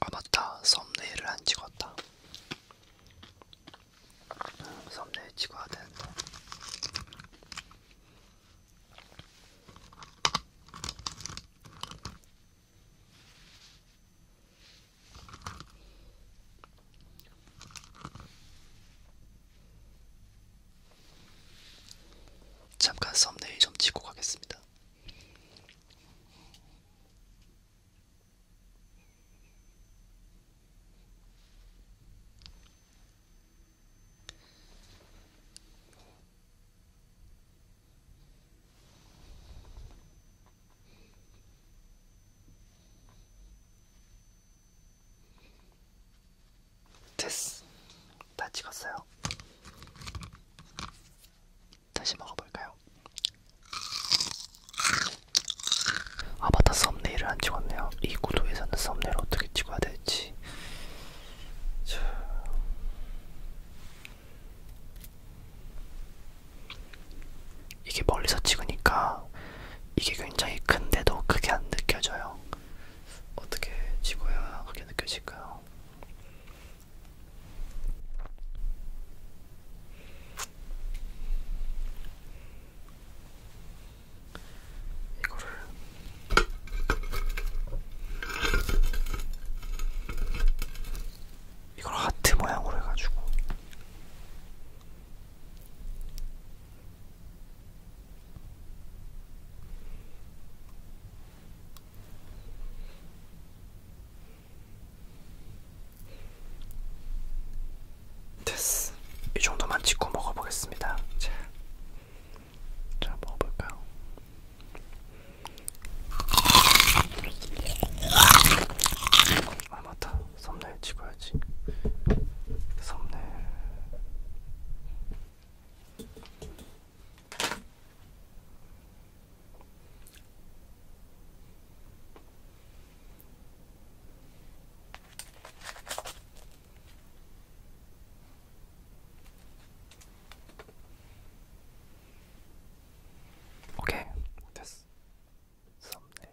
아 맞다 썸네일을 안 찍었다 썸네일 찍어야 되는데 잠깐 썸네일 좀 찍고 가겠습니다. 됐어. 다 찍었어요. 다시 먹어볼까요? 아 맞다 썸네일을 안 찍었네요. 이 구도에서는 썸네일 어떻게 찍어야 될지. 자. 이게 멀리서 찍으니까 이게 굉장히 큰데도 그게 안 느껴져요. 어떻게 찍어야 그게 느껴질까요? 이거를 이걸 하트 모양으로 해가지고 됐어. 이 정도만 찍고 먹어보겠습니다. 자, 자 먹어볼까요? 아 맞다. 썸네일 찍어야지. 썸네일. 오케이 됐어 썸네일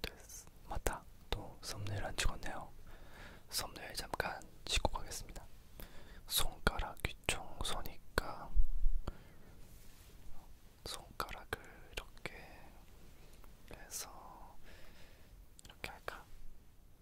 됐어. 맞다. 또 썸네일 안 찍었네요. 썸네일 잠깐 찍고 가겠습니다. 손가락 귀청소니까 손가락을 이렇게 해서 이렇게 할까?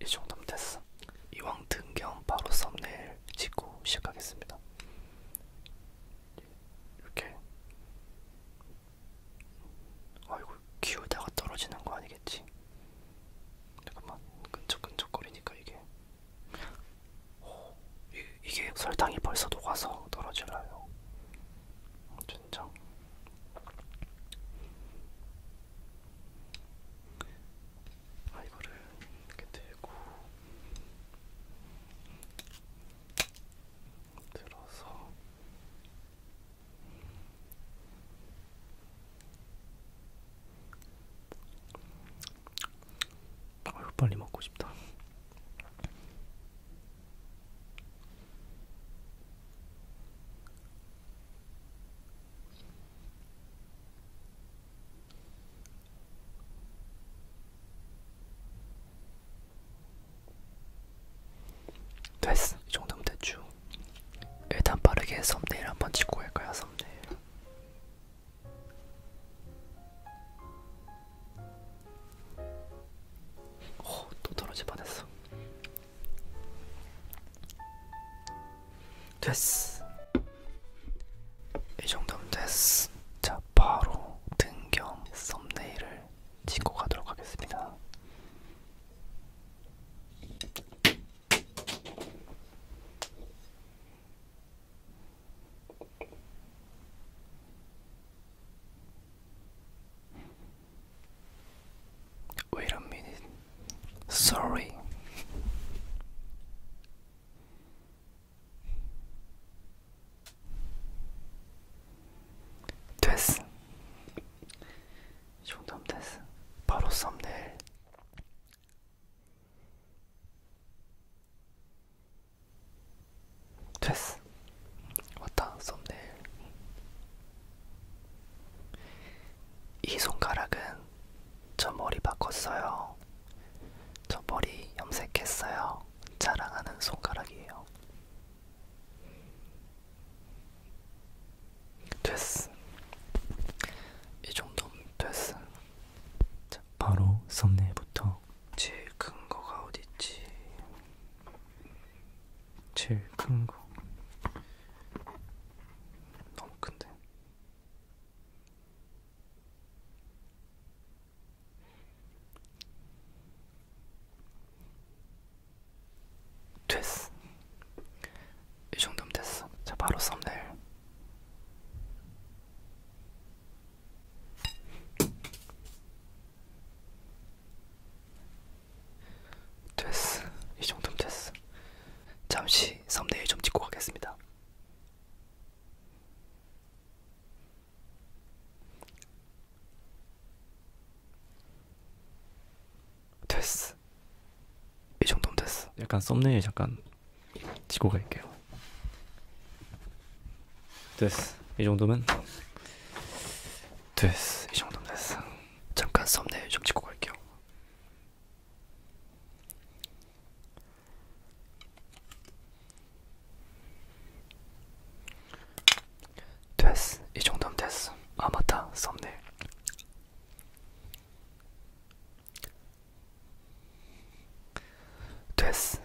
이 정도면 됐어. 이왕 등겸 바로 썸네일 찍고 시작하겠습니다. 이렇게. 아이고 키우다가 떨어지는 거 아니겠지? 잠깐만 끈적끈적거리니까 이게 오, 이, 이게 설탕이 벌써 녹아서 떨어지라요. 진짜 아 이거를 이렇게 들고 들어서 아유 빨리 먹고 싶다. 됐어. 이 정도면 대충. 일단 빠르게 썸네일 한번 찍고 갈 거야, 썸네일. 오, 어, 또 떨어질 뻔했어. 됐어. 이 정도면 됐어. 자, 바로 등경 썸네일을 찍고 가도록 하겠습니다. Wait a minute. Sorry. 됐어. 이 정도면 됐어. 바로 썸네일. 됐어. 왔다 썸네일. 이 손가락은 저 머리 바꿨어요. 저 머리 염색했어요. 자랑하는 손가락이에요. 됐어. 이 정도면 됐어. 자, 바로 썸네일부터 제일 큰 거가 어딨지? 제일 큰 거. 너무 큰데. 됐어. 이 정도면 됐어. 자, 바로 썸네일. 됐어. 이 정도면 됐어. 잠시 썸네일 좀 찍고 가겠습니다. 됐어. 이 정도면 됐어. 약간 썸네일 잠깐 찍고 갈게요. 됐어. 이 정도면 됐어 이 정도면 됐어 잠깐 썸네일 좀 찍고 갈게요 됐어 이 정도면 됐어 아 맞다 썸네일 됐어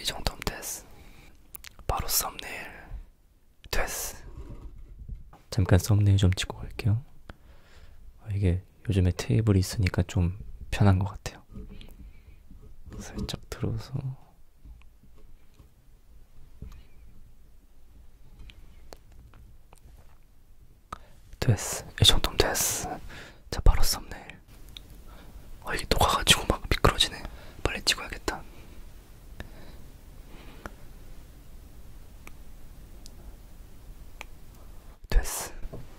이 정도면 됐어 바로 썸네일 됐어. 잠깐 썸네일 좀 찍고 갈게요. 아, 이게 요즘에 테이블이 있으니까 좀 편한 것 같아요. 살짝 들어서 됐어. 이 정도면 됐어. 자, 바로 썸네일. 아 이게 녹아가지고 막 미끄러지네. 빨리 찍어야겠다. 됐어.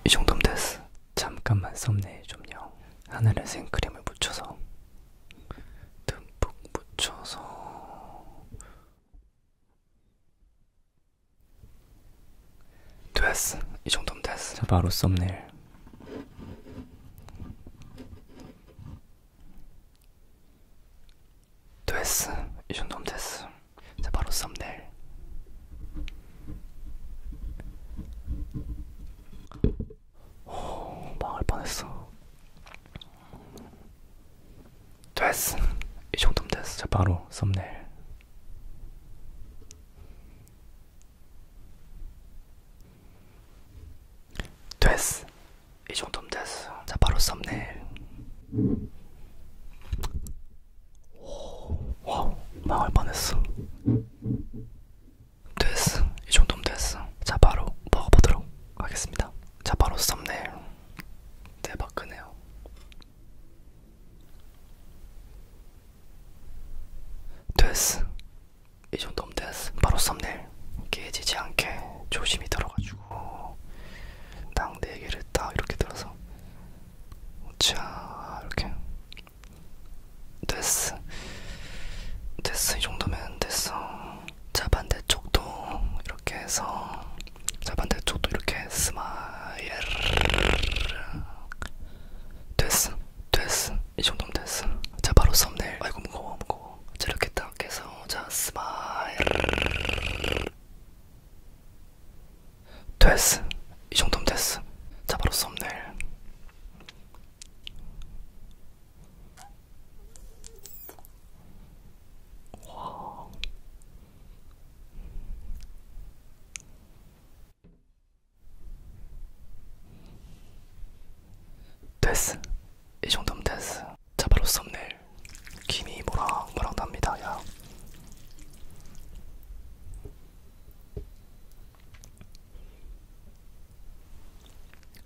이 정도면 됐어. 잠깐만 썸네일 좀요. 하늘에 생크림을 묻혀서 듬뿍 묻혀서 됐어. 이 정도면 됐어. 자 바로 썸네일. 됐어. 이 정도면 됐어. 이제 바로 썸네일. 오, 망할 뻔했어. 됐어. 이 정도면 됐어. 이제 바로 썸네일. 됐어. 이 정도면 됐어. 자, 바로 썸네일. 오, 와우, 망할 뻔했어. 됐어. 이 정도면 됐어. 자, 바로 먹어보도록 하겠습니다. 자, 바로 썸네일. 대박 크네요. 됐어. 이 정도면 됐어. 바로 썸네일 깨지지 않게 조심히 들어가지고 땅네 개를 딱 이렇게 들어서 자 이렇게 됐어. 됐어. 이 정도면 됐어. 자 반대쪽도 이렇게 해서 자 반대쪽도 이렇게 스마일 됐어 됐어 이 정도면 됐어 자 바로 썸네일 아이고 무거워 무거워 자 이렇게 딱 해서 자 스마일 됐어 이 정도면 됐어 자 바로 썸네일 와 됐어. 이 정도면 됐어. 자, 바로 썸네일. 김이 모락모락 납니다, 야.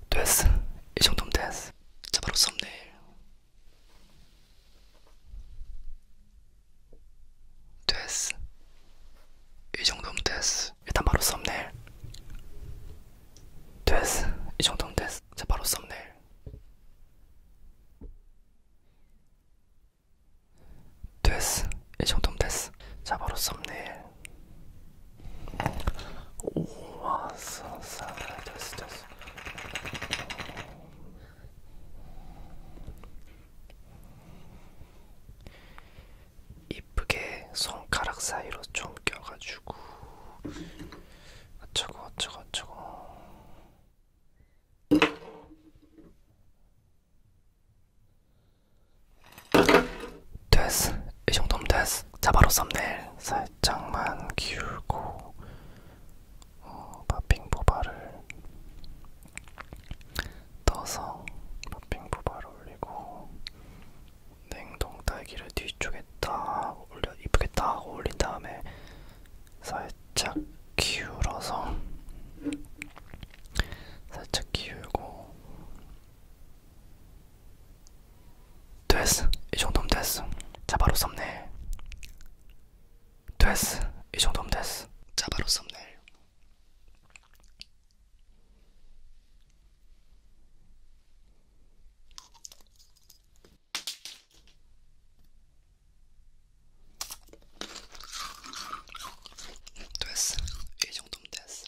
됐어. 이 정도면 됐어. 자, 바로 썸네일. 됐어. 이 정도면 됐어. 일단 바로 썸네일. 됐어. 이 정도면 됐어. 자, 바로 썸네일. 됐어. 이 정도면 됐어. 자, 바로 썸네일. 오, 왔어. 됐어, 됐어. 이쁘게 손가락 사이로 좀 껴가지고 어쩌고 어쩌고 어쩌고 됐어 이 정도면 됐어 자 바로 썸네일 살짝만 기울고 어, 마핑보바를 떠서 마핑보바를 올리고 냉동 딸기를 뒤쪽에 딱 올려 이쁘게 딱 올린 다음에 살짝 기울어서 살짝 기울고 됐어 이 정도면 됐어 자 바로 썸네일 됐어. 이 정도면 됐어. 자, 바로 썸네일. 됐어. 이 정도면 됐어.